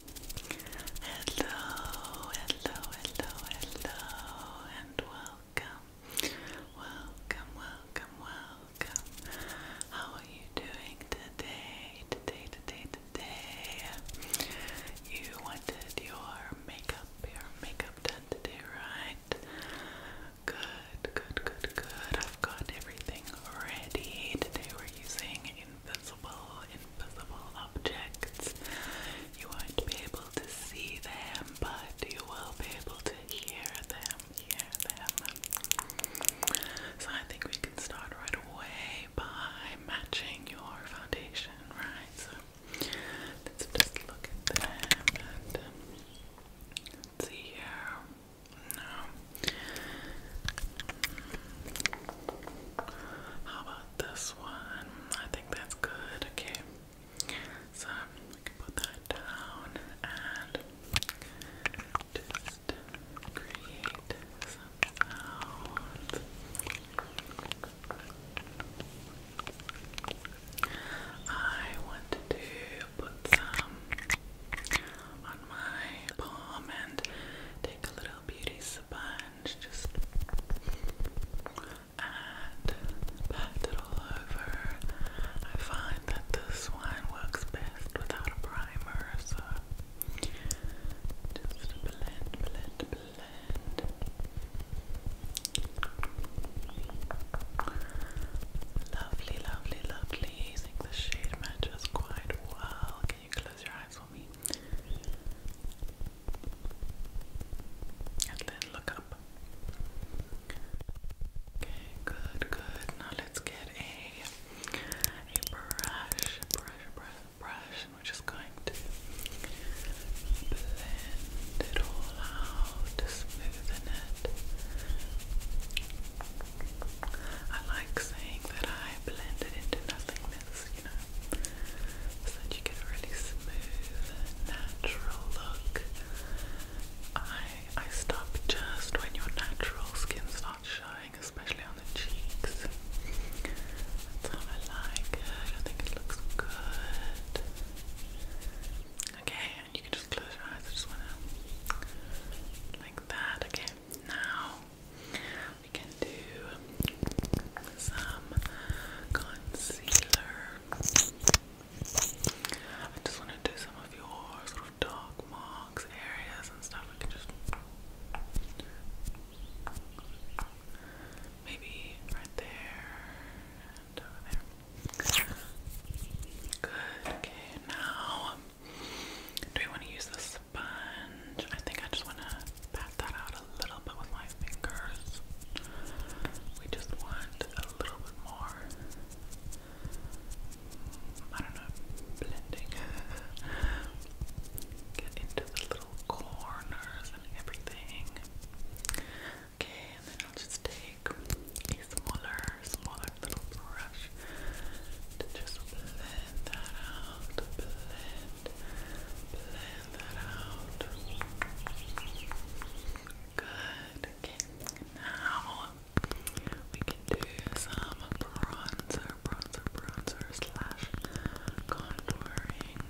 Hello, hello, hello, hello, and welcome, welcome, welcome, welcome. How are you doing today? Today, today, today. You wanted your makeup, your makeup done today, right? Good, good, good, good. I've got everything ready. Today we're using invisible, invisible objects. You won't be able to see them, but you will be able to hear them, hear them. So I think we can start right away by matching your foundation, right? So let's just look at them and um, let's see here. No. How about this one? I think that's good. Okay. So we can put that down and just create I want to put some on my palm and take a little beauty sponge, just and pat it all over. I find that this one works best without a primer, so just blend, blend, blend. Lovely, lovely, lovely. I think the shade matches quite well you close your eyes for me? And then look up. Okay, good, good. Now let's get a a brush, brush, brush, brush, we're just going to blend it all out, smoothen it. I like saying that I blended into nothingness, you know, so that you get a really smooth, natural look. I I stop just when your natural skin starts showing, especially on the cheeks. That's how I like it. I think it looks good. Okay, and you can just close your eyes. I just wanna like that. Okay, now we can do some concealer. I just want to do some of your sort of dark marks, areas, and stuff. We can just maybe right there and over there. Good. Okay, now do we want to use the sponge? I think I just want to pat that out a little bit with my fingers. We just want a little bit more. I don't know, blending. Get into the little corners and everything. Okay, and then I'll just take take a smaller, smaller little brush to just blend that out, blend, blend that out. Good. now we can do some bronzer, bronzer, bronzer slash contouring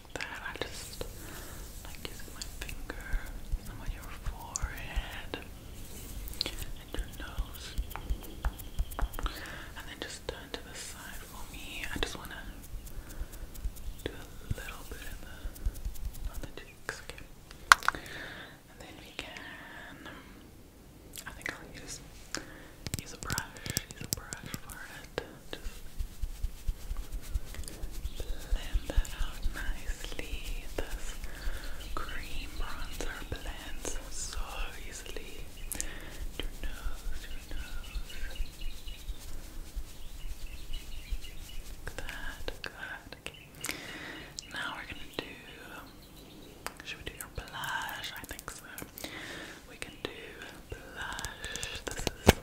like that. I just like using my finger, on your forehead and your nose. And then just turn to the side for me. I just wanna do a little bit on the cheeks, okay? And then we can I think I'll use use a brush, use a brush for it that. Just blend that out nicely. This cream bronzer blends so easily. Your nose, your nose. Like that, good. Now we're gonna do. Should we do your blush? I think so. We can do blush. This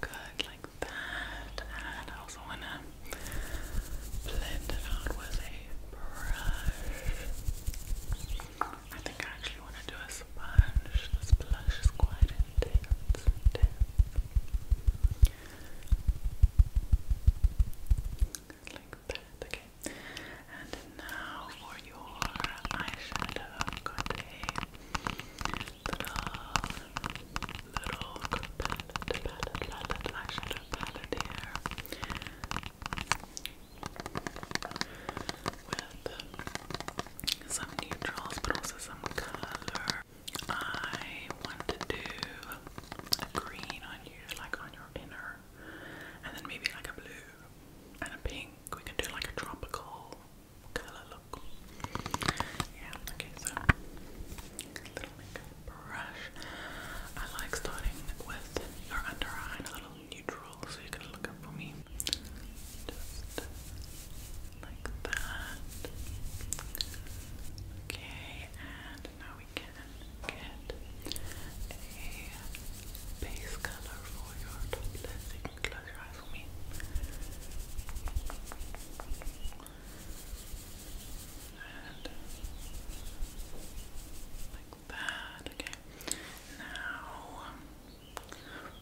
Good, like that. I also want to blend it out with a brush. I think I actually want to do a sponge. This blush is quite intense. Like that. Okay, and now for your eyeshadow, i little, little palette, palette, palette, eyeshadow palette here with some neutrals but also some color. I want to do a green on you, like on your inner, and then maybe like a blue and a pink. We can do like a tropical colour look. Yeah, okay, so little makeup brush. I like starting with your under eye and a little neutral so you can look up for me. Just like that. Okay, and now we can get a base color for your top lid. you can close your eyes for me. And like that, okay. Now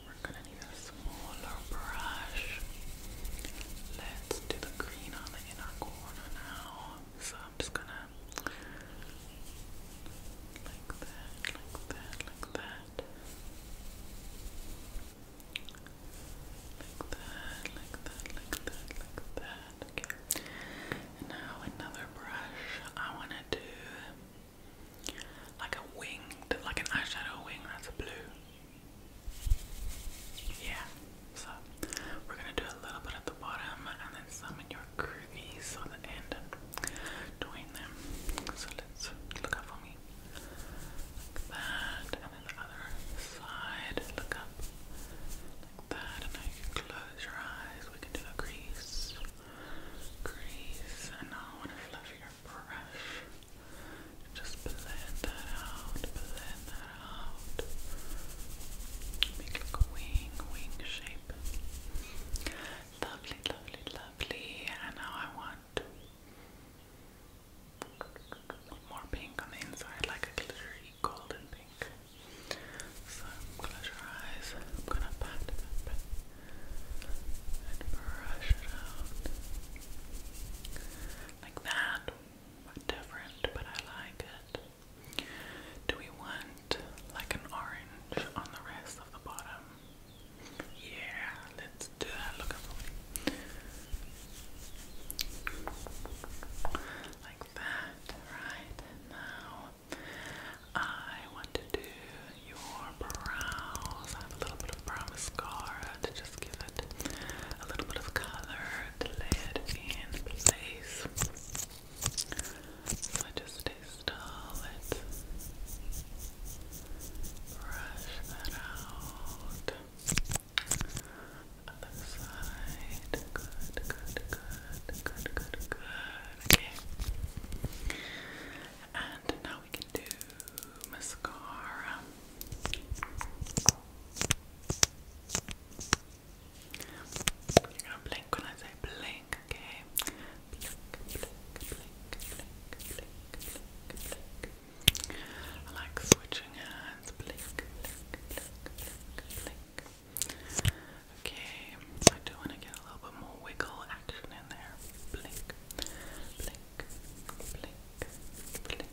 we're gonna need a smaller brush. Let's do the green on the inner corner now. So I'm just gonna like that, like that, like that. Like that, like that, like that, like that. Okay. And now another brush. I want to do like a winged, like an eyeshadow wing that's blue. Yeah. So we're gonna do a little bit at the bottom and then some in your crease on the end between them. So let's look up for me. Like that, and then the other side. Look up like that, and now you can close your eyes. We can do a crease, crease, and now I want to fluff your brush. Just blend that out, blend that out. Make like a wing, wing shape. Lovely, lovely, lovely. And now I want more pink on the inside, like a glittery golden pink. So close your eyes. I'm gonna pat it and brush it out like that. Different, but I like it. Do we want like an orange on the rest of the bottom? Yeah, let's do that. Look up. Like that. Right now, I want to do your brows. have a little bit of brow mascara to just give it a little bit of color to lay it in place. I just install it, brush that out. Other side, good, good, good, good, good, good. Okay. And now we can do mascara. You're gonna blink when I say blink, okay? Blink, blink, blink, blink, blink, blink, blink. I like switching hands. Blink, blink, blink, blink, blink. Okay, I do want to get a little bit more wiggle action in there. Blink, blink, blink, blink,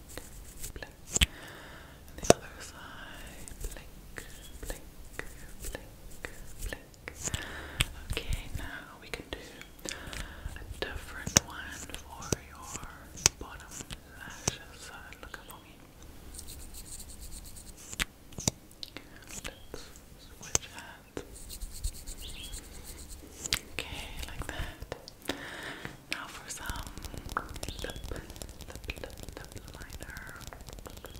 blink. And the other side. Blink, blink, blink, blink. Okay, now we can do a different one for your bottom lashes. So look up for me. Let's switch hands. Okay, like that. Now for some lip, lip, lip, liner. Lip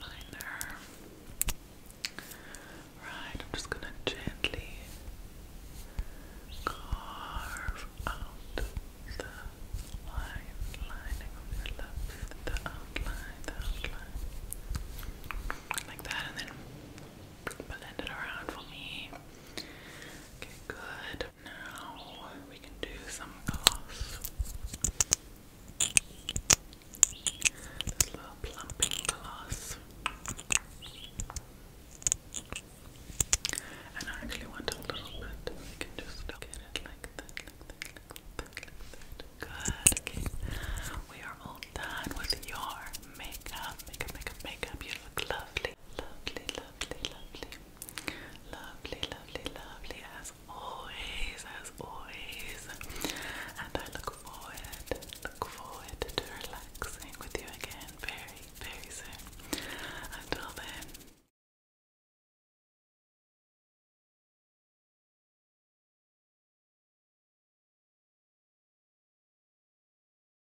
liner. Right, I'm just gonna gently carve out the lining of your lips, the outline, the outline, like that, and then blend it around for me. Okay, good. Now we can do some gloss. This little plumping gloss. And I actually want a little bit. We can just get it like that, Good. We are all done with your makeup. Makeup, makeup, makeup. You look lovely. Lovely, lovely lovely, lovely, lovely, lovely, lovely as always, as always. And I look forward, look forward to relaxing with you again very, very soon. Until then.